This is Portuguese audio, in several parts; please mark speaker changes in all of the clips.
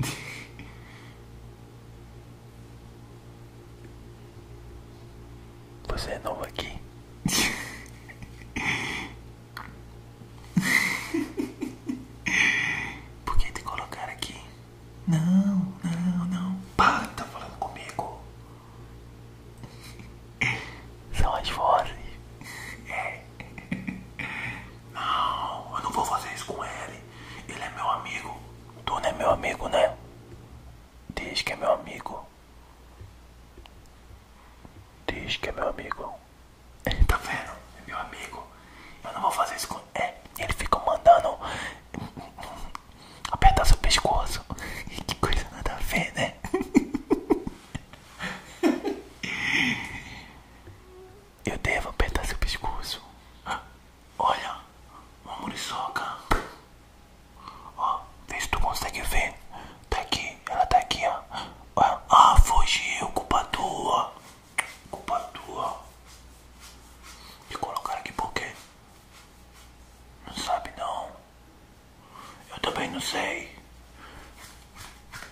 Speaker 1: Você é novo aqui. Por que te colocar aqui? Não, não, não. Para, tá falando comigo. São as vozes. É. Não, eu não vou fazer isso com ele. Ele é meu amigo. Tu não é meu amigo, né? Diz que é meu amigo. Diz que é meu amigo. Tá vendo? É meu amigo. Eu não vou fazer isso com ele. ele fica mandando apertar seu pescoço. Que coisa nada a ver, né? Eu devo apertar seu pescoço. Olha, uma muriçoca. Ó, vê se tu consegue ver. Tá aqui, ela tá aqui, ó. Ah, fugiu, culpa tua. Culpa tua. E colocar aqui por quê? Não sabe não. Eu também não sei.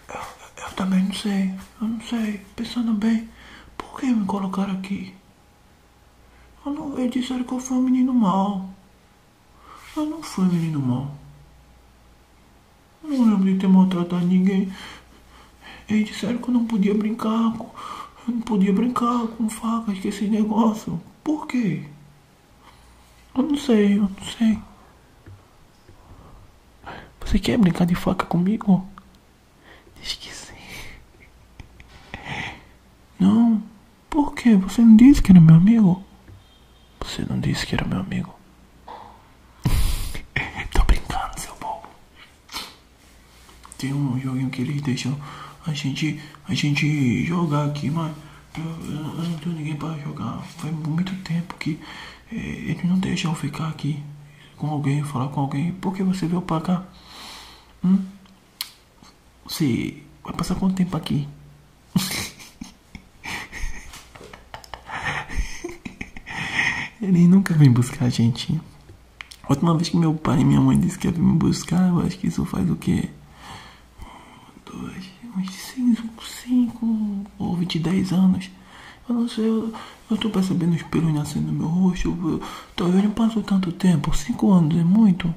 Speaker 1: Eu,
Speaker 2: também não sei. Eu não sei. Pensando bem, por que me colocaram aqui? Eu não, eles disseram que eu fui um menino mau. Eu não fui um menino mau. Eu não lembro de ter maltratado ninguém. Eles disseram que eu não podia brincar com. Eu não podia brincar com facas, que esse negócio. Por quê? Eu não sei, eu não sei. Você quer brincar de faca comigo? Diz que sim. Não. Por que? Você não disse que era meu amigo? Você não disse que era meu amigo. Tô brincando, seu bobo. Tem um joguinho que eles deixam a gente, a gente jogar aqui, mas eu, não tenho ninguém para jogar. foi muito tempo que é, eles não deixam eu ficar aqui com alguém, falar com alguém. Por que você veio para cá? Hum? Você vai passar quanto tempo aqui? Eles nunca vêm buscar a gente. A última vez que meu pai e minha mãe disseram que ia me buscar, eu acho que isso faz o quê? dois, uns 5, ou 20, 10 anos. Eu não sei, eu, eu tô percebendo os pelos nascendo no meu rosto. Eu, eu, talvez não passou tanto tempo, 5 anos é muito.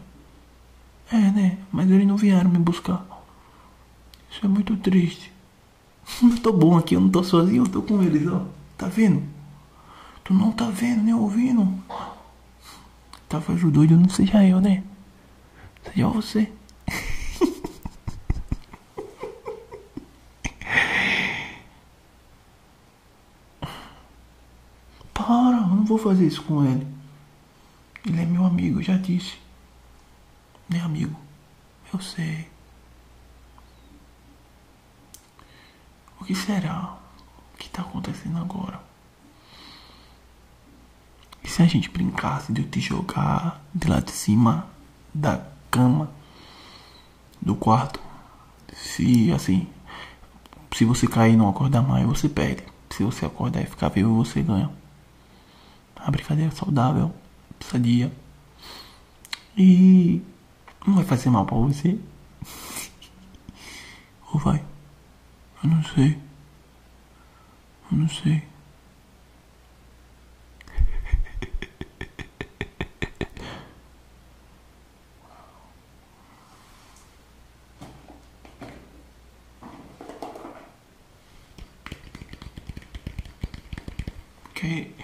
Speaker 2: É, né? Mas eles não vieram me buscar. Isso é muito triste. Eu tô bom aqui, eu não tô sozinho, eu tô com eles, ó. Tá vendo? Tu não tá vendo, nem ouvindo? Tava ajudando, não seja é eu, né? Seja é você. Para, eu não vou fazer isso com ele. Ele é meu amigo, já disse. Meu amigo, eu sei. O que será que está acontecendo agora? E se a gente brincasse de eu te jogar de lá de cima da cama, do quarto? Se assim, se você cair e não acordar mais, você perde. Se você acordar e ficar vivo, você ganha. A brincadeira é saudável, sadia. E não vai fazer mal pra você. Ou vai? Eu não sei. Eu não sei. Ok,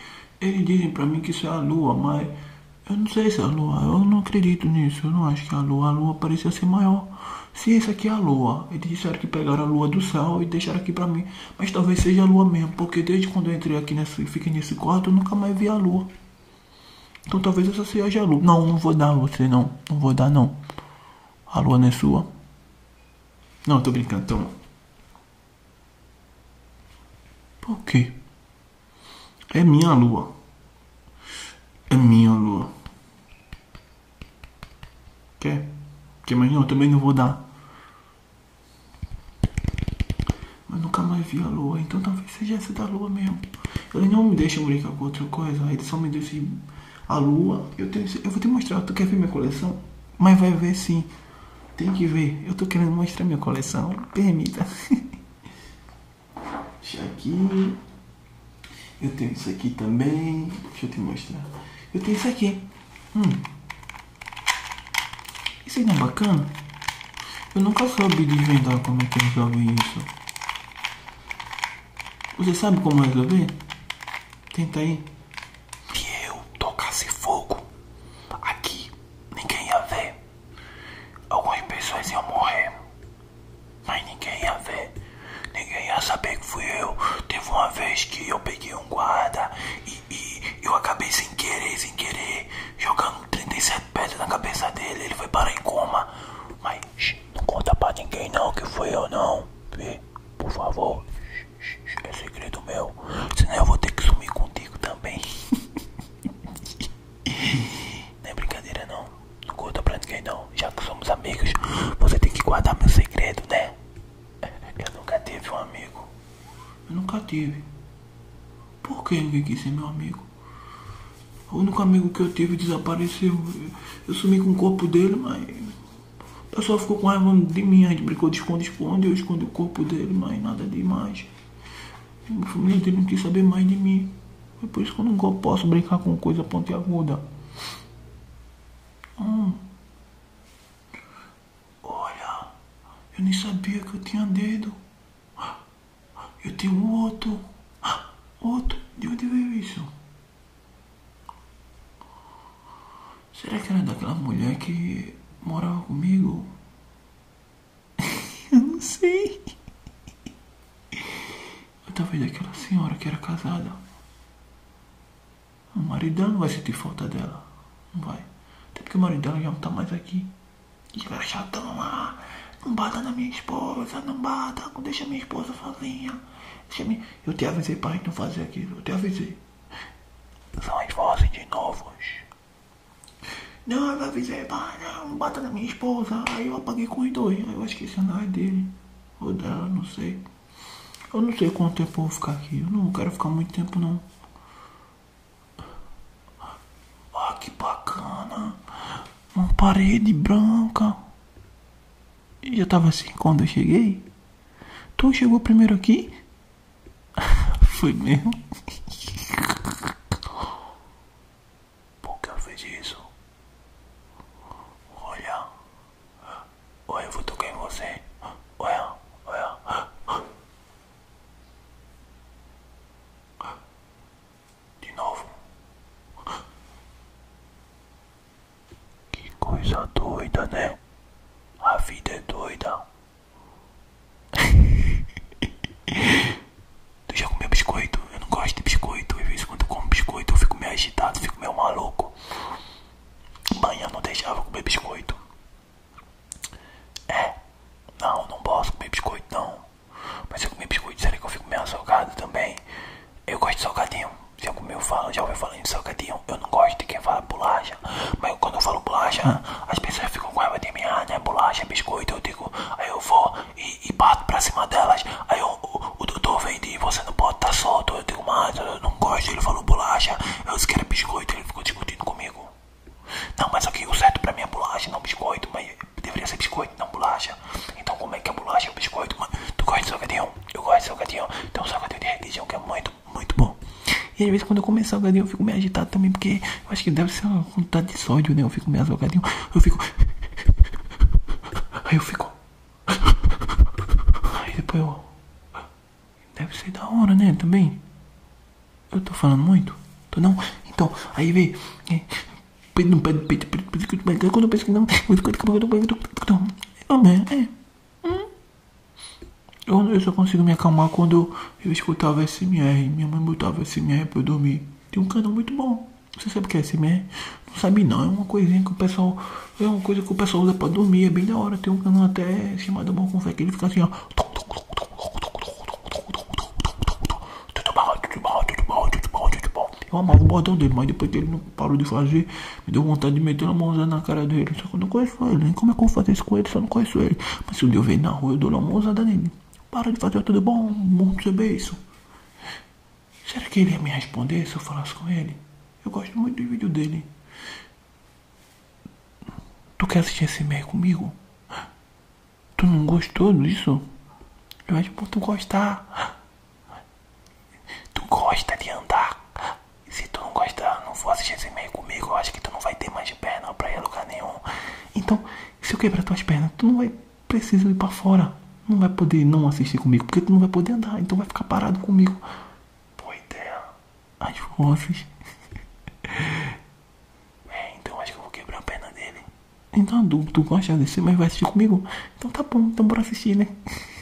Speaker 2: Eles dizem para mim que isso é a lua, mas eu não sei se é a lua, eu não acredito nisso, eu não acho que é a lua, a lua parecia ser maior. Se essa aqui é a lua, eles disseram que pegaram a lua do céu e deixaram aqui para mim, mas talvez seja a lua mesmo, porque desde quando eu entrei aqui nesse, fiquei nesse quarto, eu nunca mais vi a lua. Então talvez essa seja a lua. Não, não vou dar a você não, não vou dar não. A lua não é sua. Não, tô brincando, toma. Então. Por quê? É minha lua. É minha lua. Quer? Porque imagina, eu também não vou dar. Mas nunca mais vi a lua, então talvez seja essa da lua mesmo. Ele não me deixa brincar com outra coisa, ele só me deixa a lua. Eu, tenho, eu vou te mostrar, tu quer ver minha coleção? Mas vai ver sim. Tem que ver. Eu tô querendo mostrar minha coleção. Permita. Deixa aqui. Eu tenho isso aqui também. Deixa eu te mostrar. Eu tenho isso aqui. Hum. Isso aí não é bacana? Eu nunca soube desvendar como é que resolve isso. Você sabe como resolver? É Tenta aí. Se eu tocasse fogo,
Speaker 1: aqui ninguém ia ver. Algumas pessoas iam morrer, mas ninguém ia ver, ninguém ia saber que fui eu. Teve uma vez que eu peguei um guarda e, eu acabei sem querer, sem querer, jogando 37 pedras na cabeça dele. Ele foi para a coma, mas não conta pra ninguém não que fui eu não, por favor. É segredo meu, senão eu vou ter que sumir contigo também. Não é brincadeira não. Não conta pra ninguém não. Já que somos amigos, você tem que guardar meu segredo, né? Eu nunca tive um amigo.
Speaker 2: Eu nunca tive. Por que ninguém quis ser meu amigo? O único amigo que eu tive desapareceu. Eu sumi com o corpo dele, mas. O pessoal ficou com raiva de mim. A gente brincou de esconder esconder Eu escondi o corpo dele, mas nada de demais. Minha filho inteira não quis saber mais de mim. É por isso que eu não posso brincar com coisa pontiaguda. Olha, eu nem sabia que eu tinha dedo. Eu tenho outro. Outro? De onde veio isso? Será que era daquela mulher que morava comigo?
Speaker 1: Eu não sei.
Speaker 2: Mas talvez aquela senhora que era casada. O marido não vai sentir falta dela. Não vai. Até porque o marido dela já não tá mais aqui. E ela chatão lá.
Speaker 1: Não bata na minha esposa, não bata, não deixa minha esposa sozinha.
Speaker 2: Deixa minha... Eu te avisei pra gente não fazer aquilo, eu te avisei. São as vozes de
Speaker 1: novos não, eu avisei, pá, não, bata na
Speaker 2: minha esposa. Aí eu apaguei com os dois. Aí eu esqueci que esse dele. Ou dela, não sei. Eu não sei quanto tempo vou ficar aqui. Eu não quero ficar muito tempo, não. Ah, que bacana. Uma parede branca. E eu tava assim quando eu cheguei. Tu chegou primeiro aqui? Foi mesmo?
Speaker 1: Por que eu fiz isso? Olha. Olha, eu vou tocar em você. Olha, olha. De novo. Que coisa doida, né? A vida é doida tu já comeu biscoito? Eu não gosto de biscoito. Às vezes quando eu como biscoito eu fico meio agitado, fico meio maluco. Manhã não deixava comer biscoito. É, não, não posso comer biscoito não. Mas se eu comer biscoito, será que eu fico meio salgado também? Eu gosto de salgadinho. Se eu comer eu falo, já ouvi falando de salgadinho? Eu não gosto de quem fala bolacha. Mas quando eu falo bolacha, as pessoas ficam com raiva de mim, ah, né? Bolacha, é biscoito, eu digo, aí eu vou e, bato pra cima delas. Aí o, o doutor vem de você não pode estar tá solto. Eu digo, mas eu não gosto. Ele falou bolacha, eu disse que era biscoito, ele ficou discutindo comigo. Não, mas aqui o certo pra mim é bolacha, não biscoito, mas deveria ser biscoito, não bolacha. Então como é que é bolacha ou biscoito? Mas, tu gosta de salgadinho? Eu gosto de salgadinho. então o salgadinho de religião que é muito muito, bom. E às vezes quando eu começo salgadinho eu fico me
Speaker 2: agitado também, porque eu acho que deve ser uma quantidade de sódio, né? Eu fico meio salgadinho, eu fico. Aí eu fico. Aí depois eu. Deve ser da hora, né? Também. Eu tô falando muito? Tô não? Então, aí vê. Quando eu penso que não. É. Hum? Eu, só consigo me acalmar quando eu escutava SMR. Minha mãe botava SMR pra eu dormir. Tem um canal muito bom. Você sabe o que é SMR? Não sabe não. É uma coisinha que o pessoal. É uma coisa que o pessoal usa pra dormir. É bem da hora. Tem um canal até chamado Bom Confé que ele fica assim, ó. Eu amava o bordão dele, mas depois que ele não parou de fazer, me deu vontade de meter uma mãozada na cara dele. Só que eu não conheço né, como é que eu vou fazer isso com ele se eu não conheço ele? Mas se um dia eu ver na rua, eu dou uma mãozada nele. Para de fazer tudo bom, muito seu beijo. Será que ele ia me responder se eu falasse com ele? Eu gosto muito do vídeo dele. Tu quer assistir esse meio comigo? Tu não gostou disso? Eu acho
Speaker 1: que tu gostar. Tu gosta de andar? Se tu não gosta não for assistir esse e comigo, eu acho que tu não vai ter mais perna pra ir a lugar nenhum. Então,
Speaker 2: se eu quebrar tuas pernas, tu não vai precisar ir pra fora. Não vai poder não assistir comigo, porque tu não vai poder andar, então vai ficar parado comigo. Boa ideia. As vozes. é, então acho que eu vou quebrar a perna dele. Então, tu, tu gosta de assistir, mas vai assistir comigo? Então tá bom, então bora assistir, né?